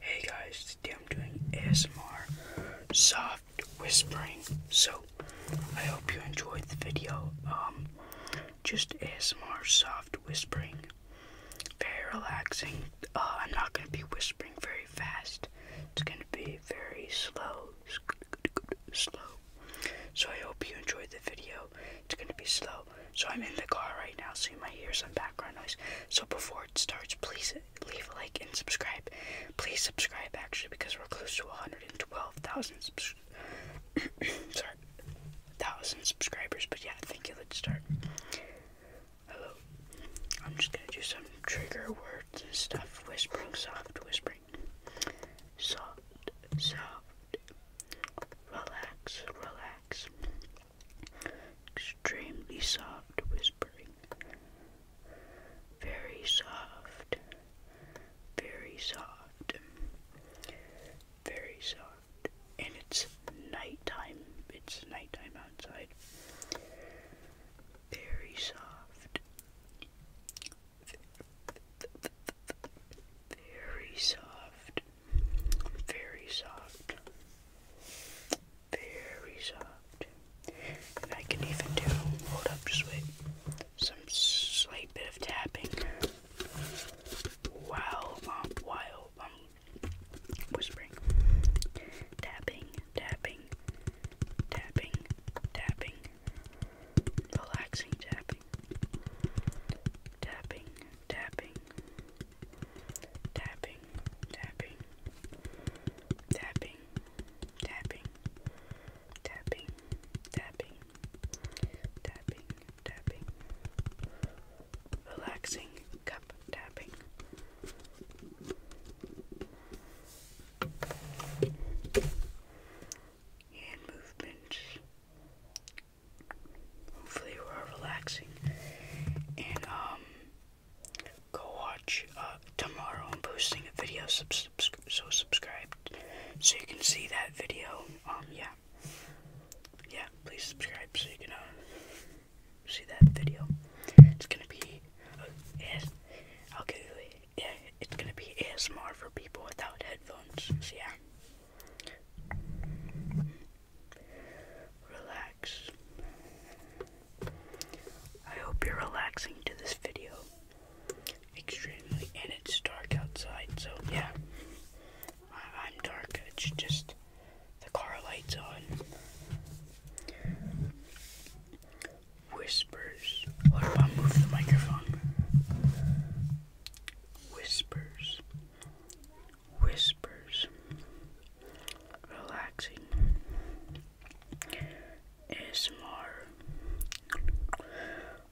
Hey guys, today I'm doing ASMR soft whispering. So I hope you enjoyed the video. Um, just ASMR soft whispering, very relaxing. Uh, I'm not gonna be whispering very fast. It's gonna be very slow, slow. So I hope you enjoyed the video. It's gonna be slow. So I'm in the car right now, so you might hear some back background noise. So before it starts, please leave a like and subscribe. Please subscribe actually because we're close to 112,000 sorry, thousand subscribers. But yeah, thank you. Let's start. Hello. I'm just gonna do some trigger words and stuff. Whispering, soft whispering, soft, soft. Relax, relax. Extremely soft whispering. Very soft. Very soft. Very soft. And it's nighttime. It's nighttime outside. Very soft. Very soft. Very soft. Very soft. I can even do, hold up, just wait, some slight bit of tapping while, um, while, whispering. Tapping, tapping, tapping, tapping, relaxing tapping, tapping, tapping, tapping, tapping, tapping, tapping, tapping, tapping, tapping, relaxing cup tapping. Hand movements, Hopefully, we're relaxing. And, um, go watch uh, tomorrow. I'm posting a video, so subscribe so you can see that video. Um, yeah. Yeah, please subscribe so you can uh, see that video. It's gonna be. Uh, yes, Yeah, it's gonna be ASMR for people without headphones. So, yeah. Relax. I hope you're relaxing to this video. Extremely, and it's dark outside, so yeah. I'm dark, it's just the car lights on. Whispers. What if move the microphone? whispers, whispers, relaxing, ASMR.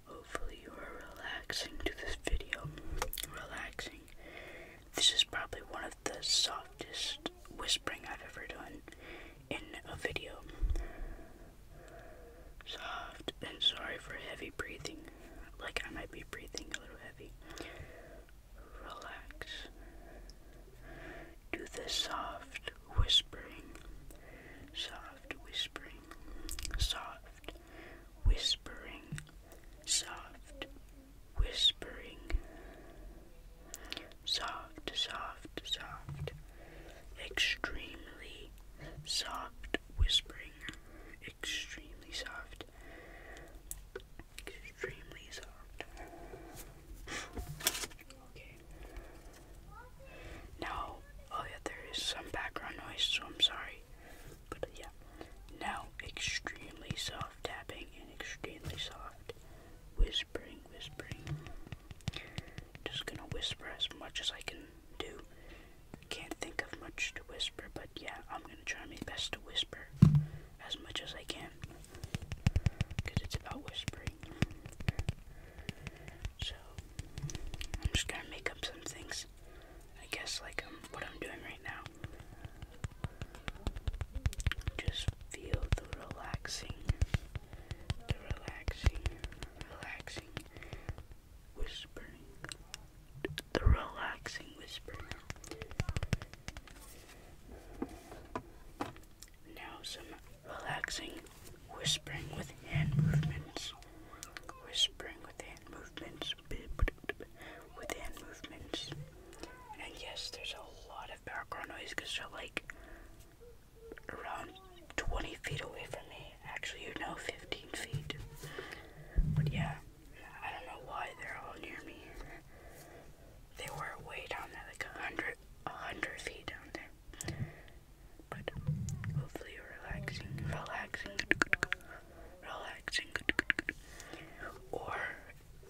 Hopefully, you are relaxing to this video. Relaxing. This is probably one of the softest whispering I've ever done in a video. Soft and sorry for heavy breathing. Like I might be breathing a little heavy. Relax. Do the soft whispering. Soft whispering. Soft whispering. Soft whispering. Soft, soft, soft. Extremely soft whispering, extremely soft, extremely soft. Okay. Now, oh yeah, there is some background noise, so I'm sorry. But yeah, now extremely soft tapping and extremely soft whispering, whispering. Just gonna whisper as much as I can do. Can't think of much to whisper, but yeah, I'm gonna try my best to whisper as much as I can. Because it's about whispering. So, I'm just gonna make up some things. I guess, like um, what I'm doing right now. Just feel the relaxing, the relaxing, relaxing whispering, the relaxing whisper. Now some relaxing whispering with hand movements. Whispering with hand movements. With hand movements. And yes, there's a lot of background noise because they're like around 20 feet away from me. Actually, you know, 15 feet. But yeah, I don't know why they're all near me. They were way down there, like 100, 100 feet down there. But hopefully, relaxing, relaxing, relaxing. Or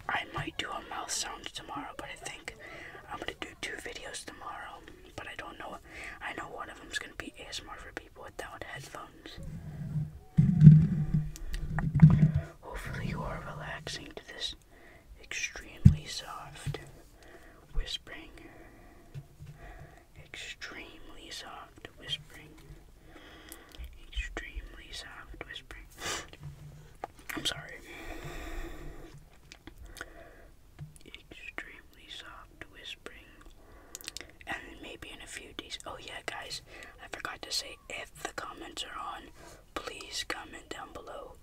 I might do a mouth sound tomorrow, but I think I'm gonna do two videos tomorrow. But I don't know I know one of them is gonna be ASMR for people without headphones. Hopefully, you are relaxing to this extremely soft whispering. Extremely soft whispering. Extremely soft whispering. I'm sorry extremely soft whispering. And maybe in a few days. Oh, yeah, guys, I forgot to say if the comments are on, please comment down below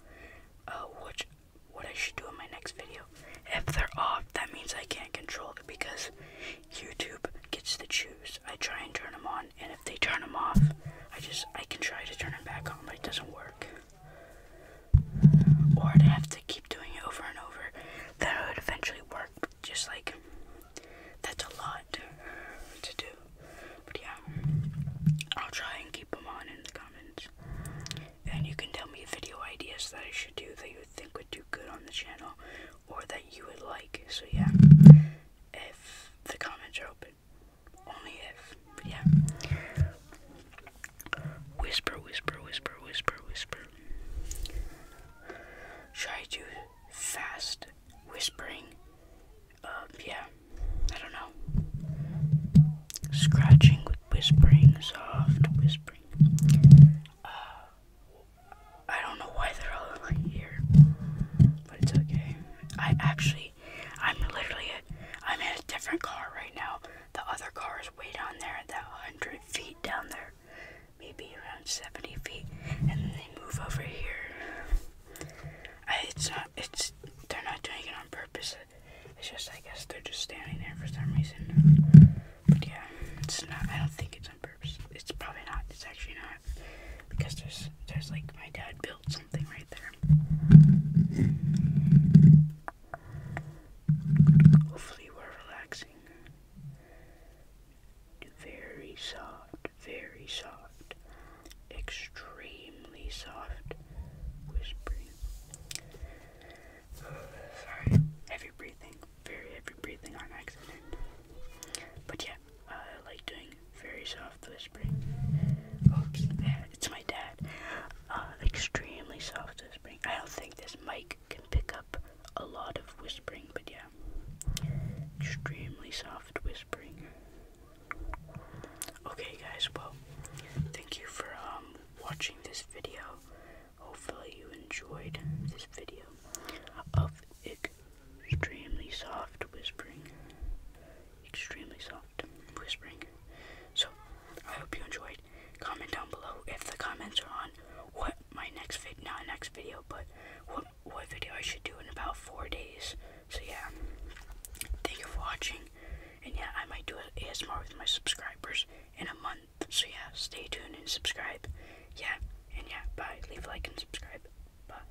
uh, which, what I should do in my next video. If they're off, that means I can't control it because YouTube gets the choose. I try and turn them on, and if they turn them off, I just I can try to turn them back on, but it doesn't work or I'd have to keep doing it over and over. Then would eventually work. Just like that's a lot to do. But yeah, I'll try and keep them on in the comments. And you can tell me video ideas that I should do that you think would do good on the channel or that you would like. So yeah, if the comments are open. Only if, yeah. Whisper, whisper, whisper, whisper, whisper. Try to fast whispering? Uh, yeah. I don't know. Scratching with whispering, soft whispering. Uh, I don't know why they're all in here, but it's okay. I actually I'm literally, a, I'm in a different car right now. The other car is way down there, that 100 feet down there, maybe around 70 feet, and then they move over here. it's not, it's, they're not doing it on purpose. It's just, I guess they're just standing there for some reason. But yeah, it's not, I don't think it's on purpose. It's probably not, it's actually not. Because there's, there's like, my dad built something right there. Hopefully, we're relaxing. Very soft, very soft, extremely soft whispering. Sorry, heavy breathing, very heavy breathing on accident. But yeah, I like doing very soft whispering. Oops, it's my dad. Uh, extremely soft whispering. I don't think this mic can pick up a lot of whispering, but yeah. Extremely soft whispering. Okay, guys, well, thank you for um, watching this video. Hopefully, you enjoyed this video of Ig Extremely soft whispering. Extremely soft whispering. So, I hope you enjoyed. Comment down below if the comments are on what my next vid, not next video, but what, what video I should do in about four days. So, yeah. Thank you for watching. And yeah, I might do an ASMR with my subscribers in a month. So, yeah, stay tuned and subscribe. Yeah, and yeah, bye. Leave a like and subscribe. Bye.